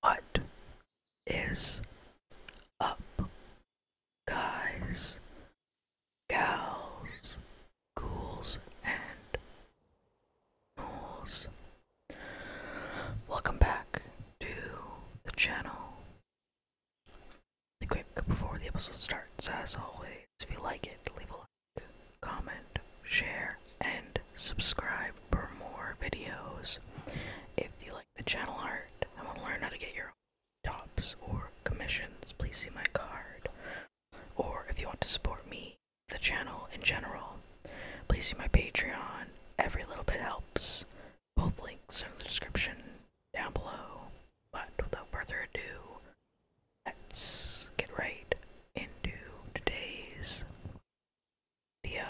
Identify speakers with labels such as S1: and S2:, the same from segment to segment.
S1: What is up, guys, gals, ghouls, and ghouls? Welcome back to the channel. Really quick before the episode starts, as always, if you like it, leave a like, comment, share, and subscribe for more videos. If you like the channel art I want to learn how to get your own tops or commissions, please see my card. Or if you want to support me, the channel in general, please see my Patreon. Every little bit helps. Both links are in the description down below. But without further ado, let's get right into today's Radio.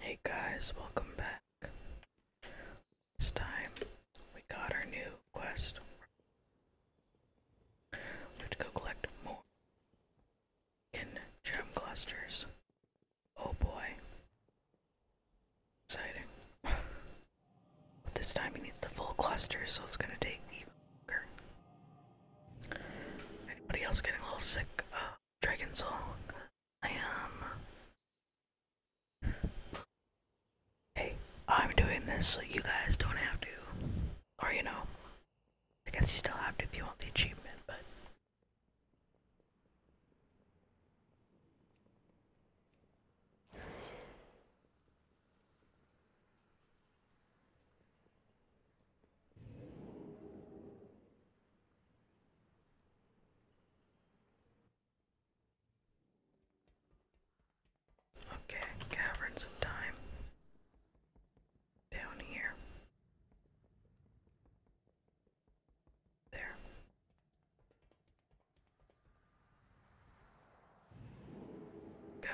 S1: Hey guys, welcome back. This time we got our new quest. We have to go collect more gem clusters. Oh boy. Exciting. but this time he needs the full cluster, so it's gonna take even longer. Anybody else getting a little sick of Dragon Soul? I am. Hey, I'm doing this so you guys don't have to. Or, you know, I guess you still have to if you want the achievement, but. Okay, caverns of time. Down here. There. Go.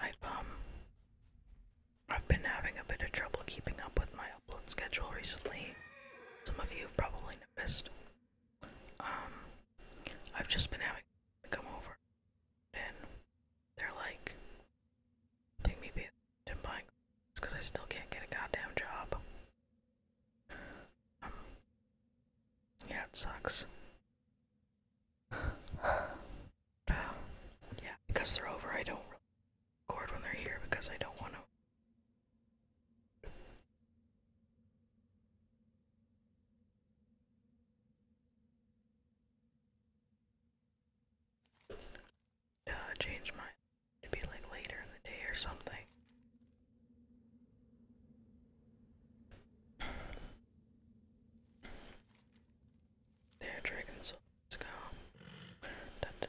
S1: I've um I've been having a bit of trouble keeping up with my upload schedule recently. Some of you probably know. Um, I've just been having to come over, and they're like, I think maybe I'm buying I still can't get a goddamn job. Um, yeah, it sucks. yeah, because they're over, I don't record when they're here because I don't want to uh, change mine to be like later in the day or something. There, Dragon let's go. Dun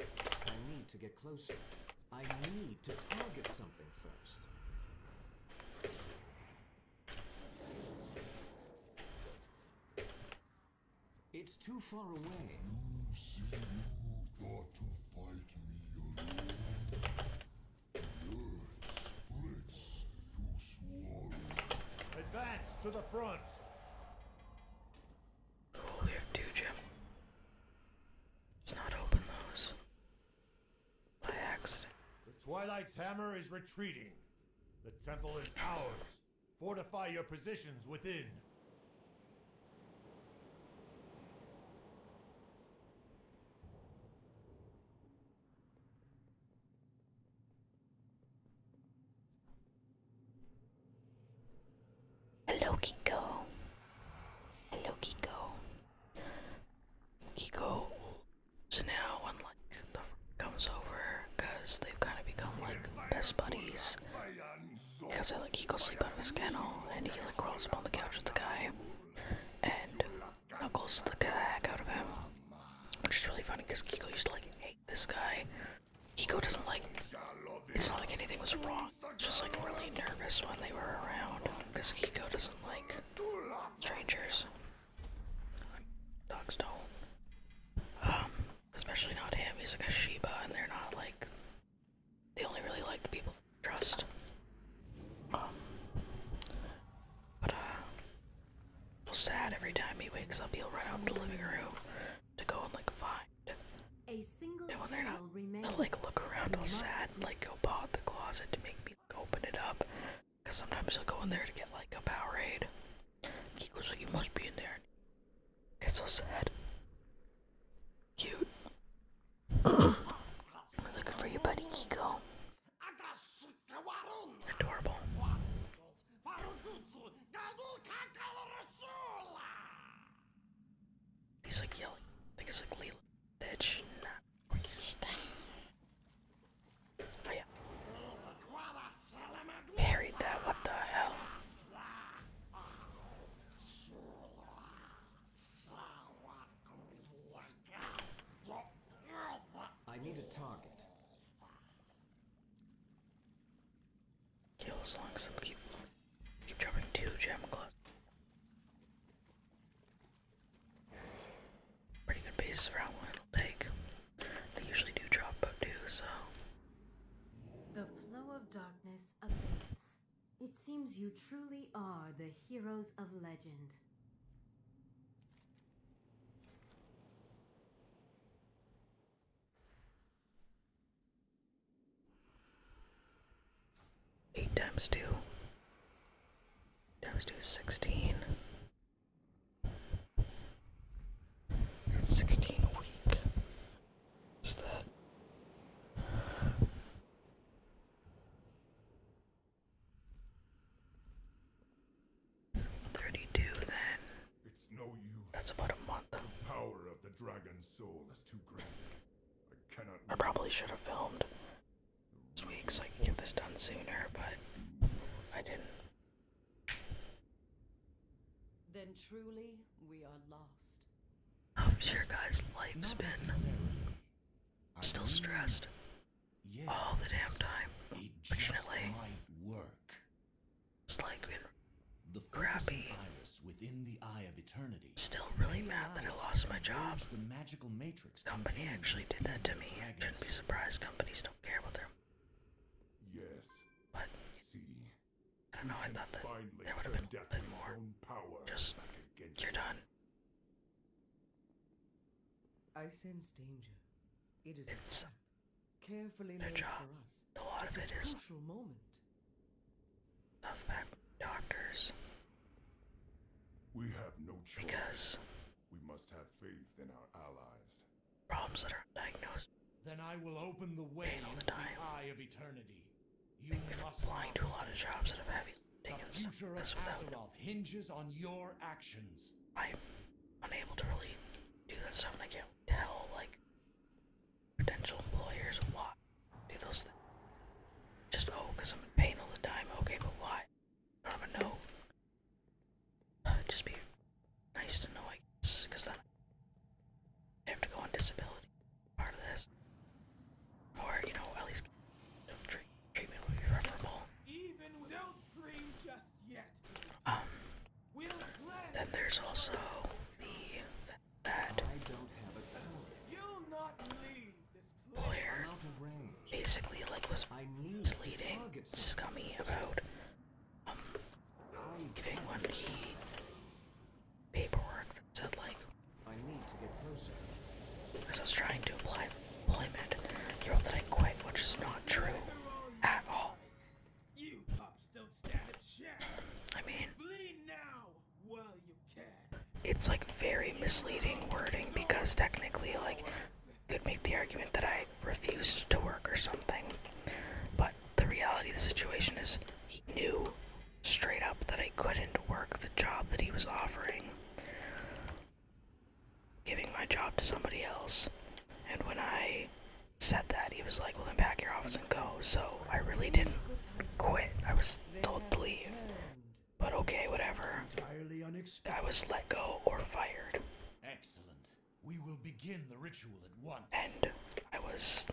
S2: I need to get closer. I need to target something first. It's too far away. You see, you thought to fight me alone.
S1: The earth to swallow. Advance to the front. Cool, we Jim. let not open those. By accident. The Twilight's hammer is retreating.
S2: The temple is ours. Fortify your positions within.
S1: Hello, Kiko. Hello, Kiko. Kiko. So now, when like the comes over, they've kind of become like best buddies, Cause I like Kiko goes sleep out of his kennel and he like crawls up on the couch with the guy and knuckles the heck out of him. Which is really funny because Kiko used to like hate this guy. Kiko doesn't like it's not like anything was wrong. It's just like really nervous when they were around. Cause Kiko doesn't like strangers. Dogs don't. Um Especially not him. He's like a Sheba, and they're not like. They only really like the people they trust. Um, but, uh. Feel sad every time he wakes up, he'll run out to the living room to go and, like, find. A single and when they're not. They'll, like, look around all sad and, like, go bot the closet to make me like, open it up. Because sometimes he'll go in there to get, like, a Powerade. He goes, like, you must be in there. Get so sad. Cute. We're looking for your buddy Kiko. Adorable. He's like yelling. I think it's like Leela. Bitch. Nah.
S2: Oh yeah. Buried that, what the hell? I need a target.
S1: Kills long some keep keep dropping two gem clubs. Pretty good basis for how long it'll take. They usually do drop but two, so
S2: the flow of darkness abates. It seems you truly are the heroes of legend.
S1: Eight times two times two is sixteen. Sixteen a week. Thirty-two. Then. That's about a month. I I probably should have filmed this week so I could get this done sooner, but I didn't.
S2: Then truly we are lost. I'm
S1: guys life's been still stressed all the damn time. Fortunately. Work. It's like been Still really mad that I lost my job. The magical matrix company actually did that to me. I not be surprised companies don't care about their Yes. But I don't know. I thought that there would have been a bit more. Power Just you're done.
S2: I sense danger. It is it's carefully their For us. A lot of it is crucial moment.
S1: doctors. We have no choice. Because we must have faith in our allies problems that are undiagnosed. Then I will open the way all the time. eye of eternity. You must blind to a lot of jobs that have heavy lifting and stuff like this without
S2: hinges on your actions.
S1: I'm unable to really do that stuff, and I can't tell like potential employers why do those things. Just oh, because I'm in pain all the time. Okay, but why? I am a no. just be nice to know, I guess, because then I have to go on disability part of this. Or, you know, at least treat, treatment will be referable. Even without pray just yet. Um, then there's also the that, that player basically like was misleading, scummy about giving one key paperwork said like I was trying to apply employment. He wrote that I quit, which is not true at all. I mean It's like very misleading wording because technically like could make the argument that I refused to work or something. But the reality of the situation is, he knew straight up that I couldn't work the job that he was offering, giving my job to somebody else. And when I said that, he was like, Well, then pack your office and go. So I really didn't quit, I was told to leave. But okay, whatever.
S2: I was let go or fired. We will begin the ritual at once. And I was,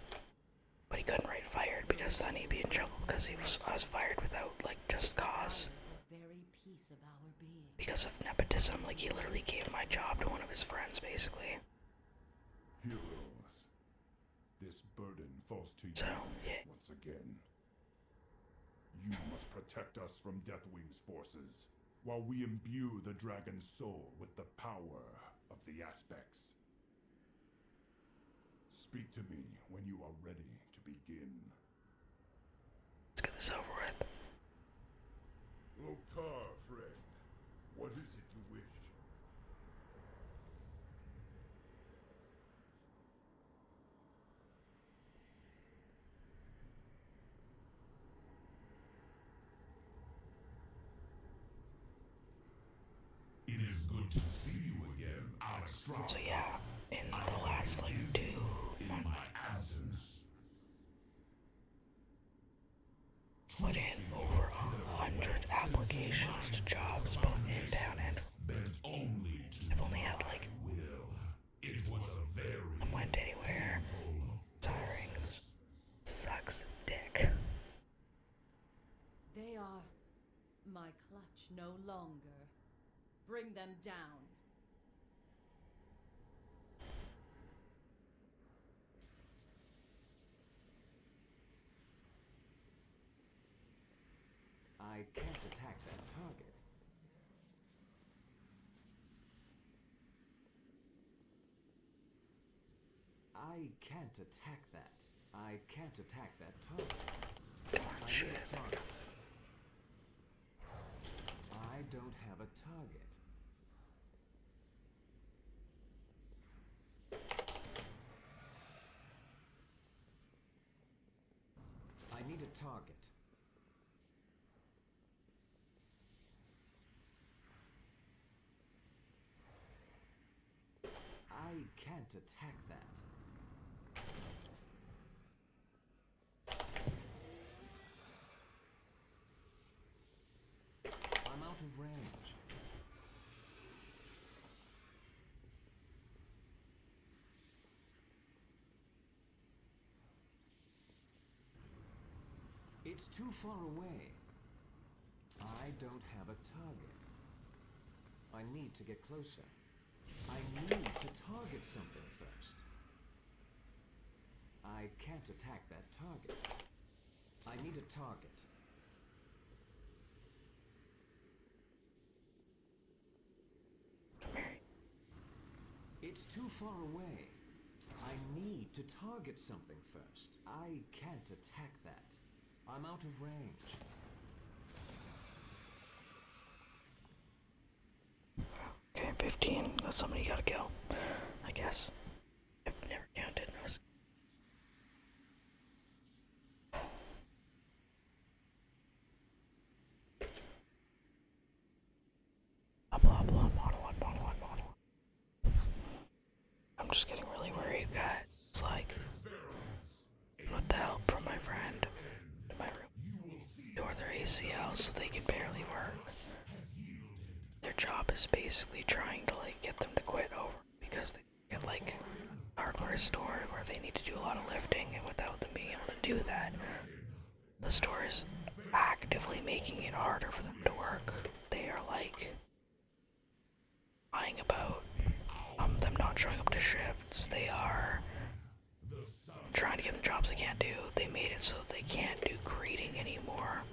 S2: but he couldn't write fired because then he'd be in trouble
S1: because he was I was fired without like just cause. Very piece of our being. Because of nepotism, like he literally gave my job to one of his friends, basically. Heroes,
S2: this burden falls to you once again. You must protect us from Deathwing's forces while we imbue the dragon's soul with the power of the aspects. Speak to
S1: me when you are ready to begin. Let's get this over with.
S2: Loktar, friend, what is it you wish?
S1: So yeah, in the last like two months, put in over a hundred applications to jobs both in town and I've only had like I went anywhere. Sucks dick.
S2: They are my clutch no longer. Bring them down. I can't attack that target. I can't attack that. I can't attack that target. I don't have a target. I need a target. I can't attack that. I'm out of range. It's too far away. I don't have a target. I need to get closer. I need to target something first. I can't attack that target. I need a target. It's too far away. I need to target something first. I can't attack that. I'm out of range.
S1: Okay, 15. That's somebody you gotta kill, I guess. I've never counted. Blah blah blah, monologue, monologue, monologue. I'm just getting really worried, guys. It's like, with the help from my friend, to my room tore their ACL so they can barely work. Their job is basically trying to like get them to quit over because they get like hardware store where they need to do a lot of lifting, and without them being able to do that, the store is actively making it harder for them to work they are like lying about um, them not showing up to shifts. They are trying to give them jobs they can't do. They made it so that they can't do greeting anymore.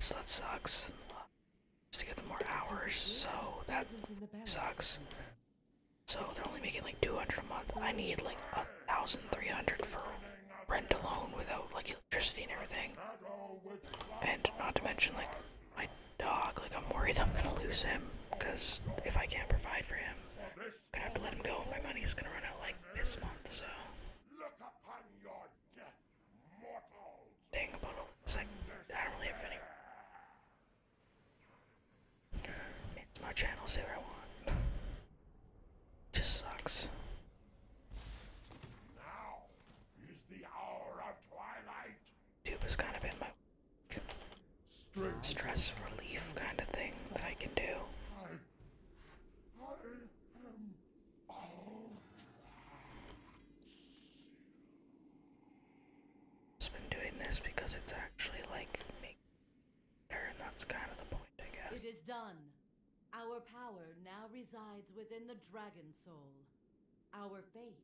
S1: So that sucks. Just to give them more hours, so that sucks. So they're only making like 200 a month. I need like a thousand three hundred for rent alone without like electricity and everything. And not to mention like my dog, like I'm worried I'm gonna lose him because if I can't provide for him, I'm gonna have to let him go. My money's gonna run out like this month, so. Dang, about it's like I don't really have any. It's my channel, say what I want. Just sucks. Now is kind of been my stress relief kind of thing that I can do. I, I been doing this because it's actually like me, and that's kind of the point, I guess.
S2: It is done. Our power now resides within the Dragon Soul. Our fate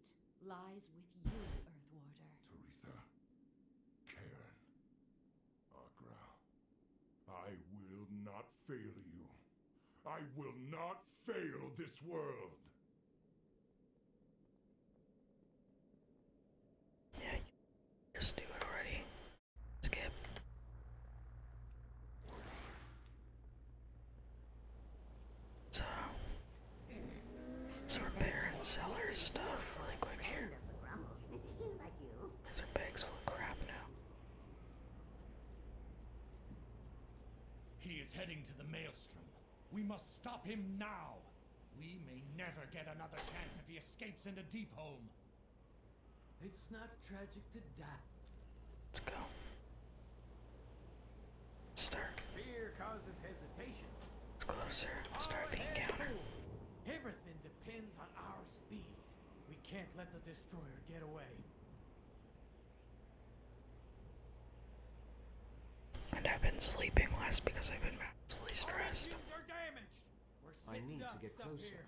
S2: lies with you, Earthwarder. Taritha, Cairn, Agra, I will not fail you. I will not fail this
S1: world! Yeah, just do it already. Skip. So we're repair and sell stuff really quick here. These are bags full of crap now. He
S2: is heading to the maelstrom. We must stop him now. We may never get another chance if he escapes into Deepholm. It's not
S1: tragic to die. Let's go. start. Fear causes hesitation. It's closer. We'll start the encounter. Everything depends on our speed. We can't let the destroyer get away. And I've been sleeping less because I've been massively stressed. I need to get closer.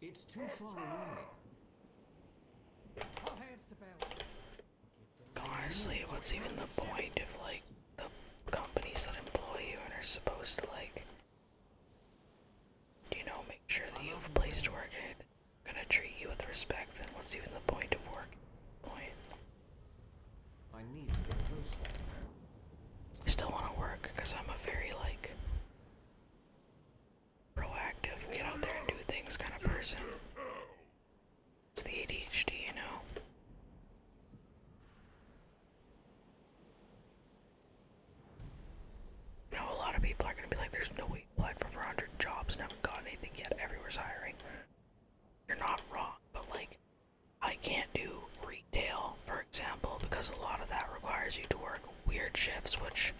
S2: It's too far away.
S1: Honestly, what's even the point of like, the companies that employ you and are supposed to, like, you know, make sure that you have a place to work and gonna treat you with respect, then what's even the point of work? Point. I need to get closer. I still want to work because I'm a very like proactive, get out there and do things kind of person. It's the ADHD, you know. I a lot of people are gonna be like, "There's no way you applied for 400 jobs and haven't gotten anything yet. Everywhere's hiring." You're not wrong, but like, I can't do retail, for example, because a lot of that requires you to work weird shifts, which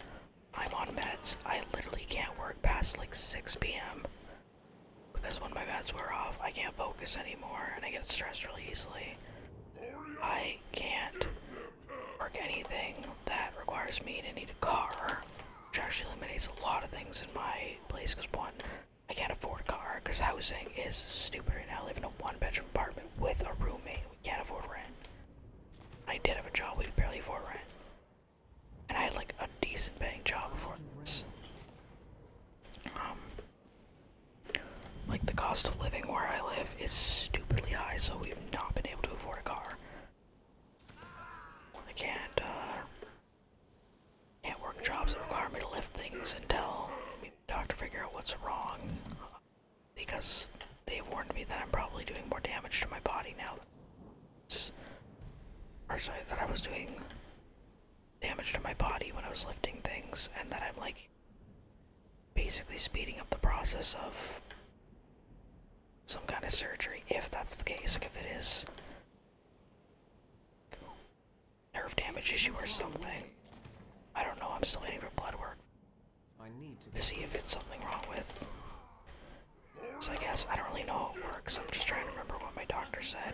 S1: I'm on meds. I literally can't work past like 6 p.m. because when my meds wear off, I can't focus anymore and I get stressed really easily. I can't work anything that requires me to need a car, which actually eliminates a lot of things in my place because one, I can't afford a car because housing is stupid right now. I live in a one bedroom apartment with a roommate. We can't afford rent. I did have a job, we barely afford rent. And I had like a decent paying job before this. Um, like the cost of living where I live is stupidly high, so we've not been able to afford a car. I can't, uh, can't work jobs that require me to lift things until the doctor figure out what's wrong. Because they warned me that I'm probably doing more damage to my body now. Or sorry, that I was doing damage to my body when I was lifting things, and that I'm like basically speeding up the process of some kind of surgery, if that's the case. Like if it is Nerve damage issue or something. I don't know, I'm still waiting for blood work. need to, to see if it's something wrong with. So I guess I don't really know how it works. I'm just trying to remember what my doctor said.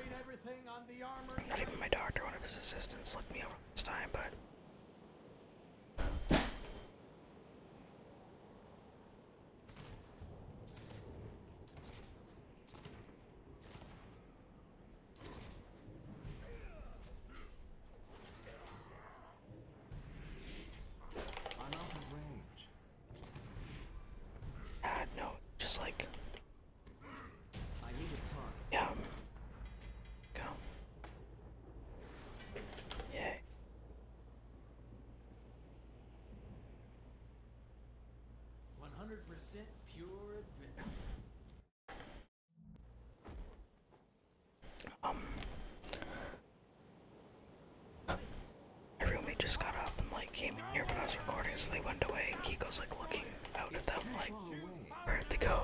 S1: Not even my doctor, one of his assistants looked me over this time, but I'm out of range. Ah, uh, no, just like. I need a target. Yeah. Go. Yay.
S2: 100% pure adventure. Um.
S1: just got up and like came in here when I was recording, so they went away, Kiko's like looking out at them, like,
S2: where'd go?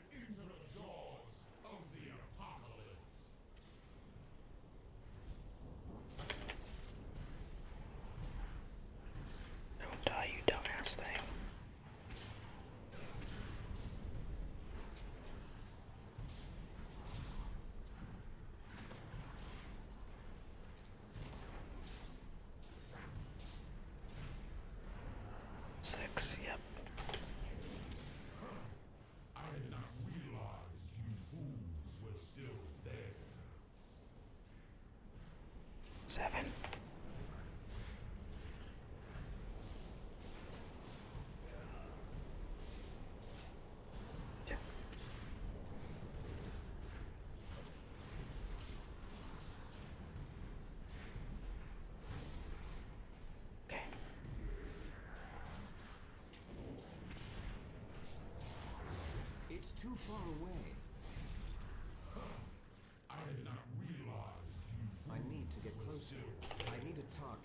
S2: the jaws of
S1: the apocalypse. Don't die, you dumbass thing. Six, yep. I did not realize you fools were still there. Seven.
S2: Okay. It's too far away. I had not realized I need to get closer. I need a target.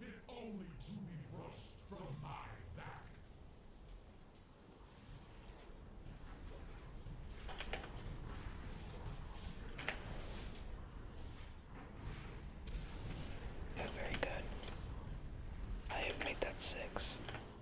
S2: fit only to be brushed from my back.
S1: very good. I have made that six.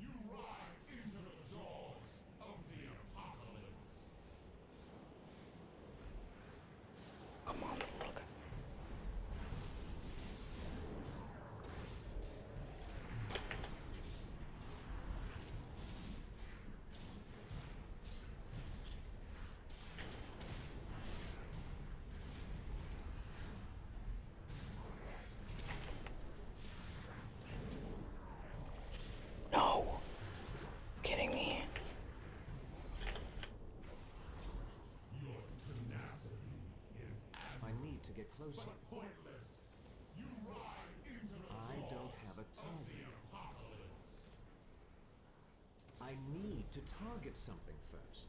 S1: You ride into the jaws of the apocalypse. Come on, look.
S2: No. Kidding me. I need to get closer. I don't have a target. I need to target something first.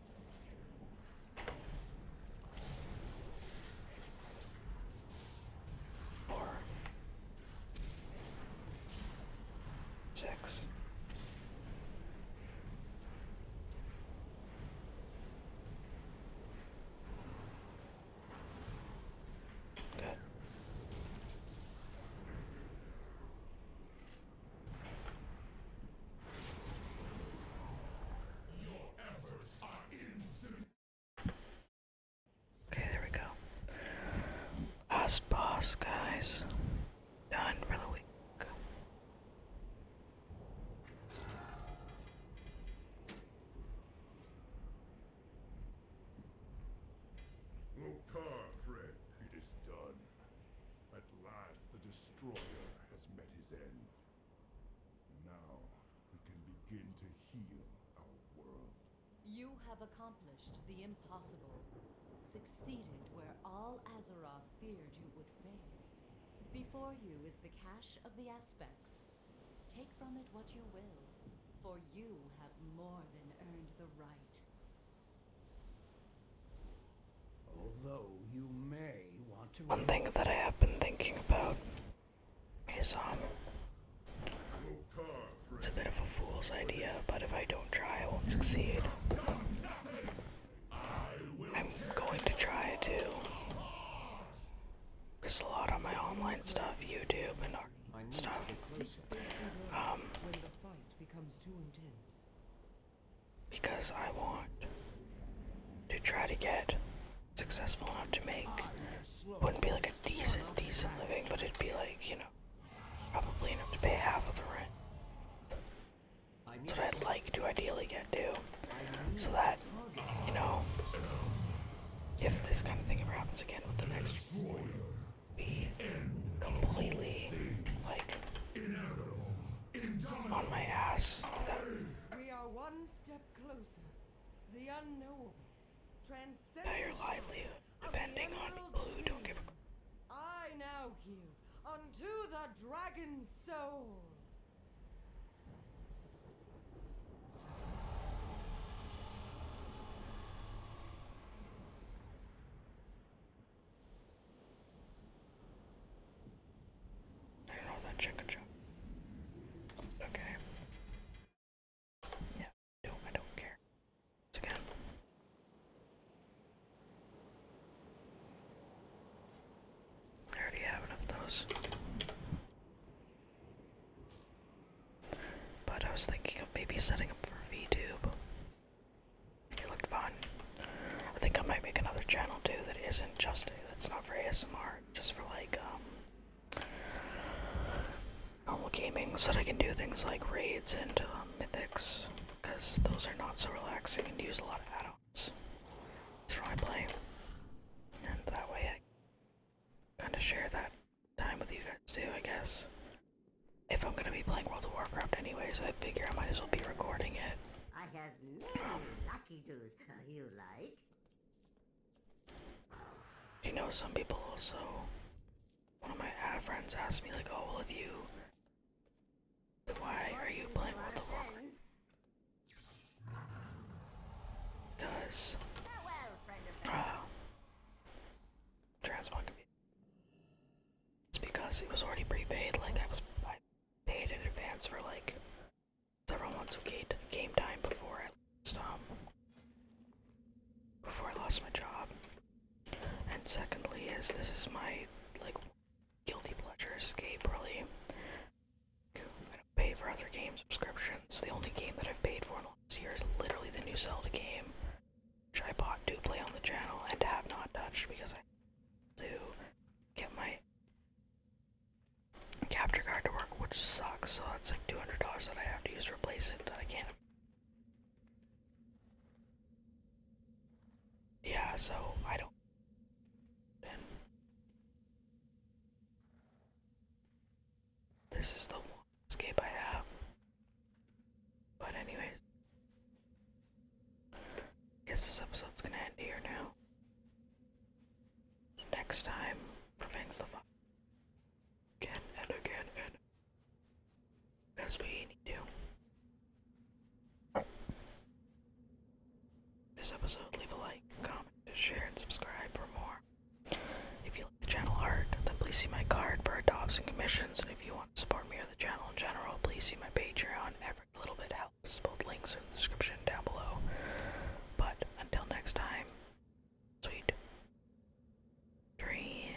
S2: Four.
S1: Six. Good. Your efforts Okay, there we go. Last boss, guys. Done for the week.
S2: Lokar, friend. It is done. At last, the destroyer has met his end. Now, You have accomplished the impossible. Succeeded where all Azeroth feared you would fail. Before you is the cache of the aspects. Take from it what you will, for you have more than earned the right. One thing that I have been thinking about is um
S1: it's a bit of a fool's idea, but if I don't try I won't succeed. I'm going to try to because a lot of my online stuff, YouTube and
S2: stuff. Um
S1: because I want to try to get successful enough to make wouldn't be like a decent, decent living, but it'd be like, you know, probably enough to pay half of the rent. That's what I'd like to ideally get to.
S2: So that, you know, if this kind of thing ever happens again with the next be completely like
S1: on my ass. That...
S2: We are one step closer. The unknowable. Transcend now your livelihood, depending on people who don't give a I now give unto the dragon's soul. I don't know that chicken chop.
S1: Okay. Yeah, I I don't care. again. I already have enough of those. But I was thinking of maybe setting up for VTube. It looked fun. I think I might make another channel too that isn't just that's not for ASMR, just for like um normal gaming, so that I can do things like raids and um, mythics, because those are not so relaxing and use a lot of add-ons. That's my I play, and that way I kind of share that time with you guys too, I guess. If I'm gonna be playing World of Warcraft anyways, I figure I might as well be recording it. I have many um, lucky do you like. You know, some people also. One of my friends asked me, like, oh, well, if you. Then why are you playing with the walker? Because. Oh. Uh, Transmog computer. It's because it was already prepaid, like, I was. paid in advance for, like, several months of game time before I lost, um, before I lost my job. And secondly, is this is my like guilty pleasure escape really. I don't pay for other game subscriptions. The only game that I've paid for in the last year is literally the new Zelda game, which I bought to play on the channel and have not touched because I do get my capture card to work, which sucks. So that's like $200 that I have to use to replace it. I can't. Yeah, so I don't. this is the one escape I have. But anyways, I guess this episode's gonna end here now. Next time, prevents the fire again and again and because we need to. This episode, leave a like, comment, share, and subscribe for more. If you like the channel art, then please see my card for adopts commissions. And if you want to support me or the channel in general, please see my Patreon. Every little bit helps. Both links in the description down below. But until next time, sweet dreams.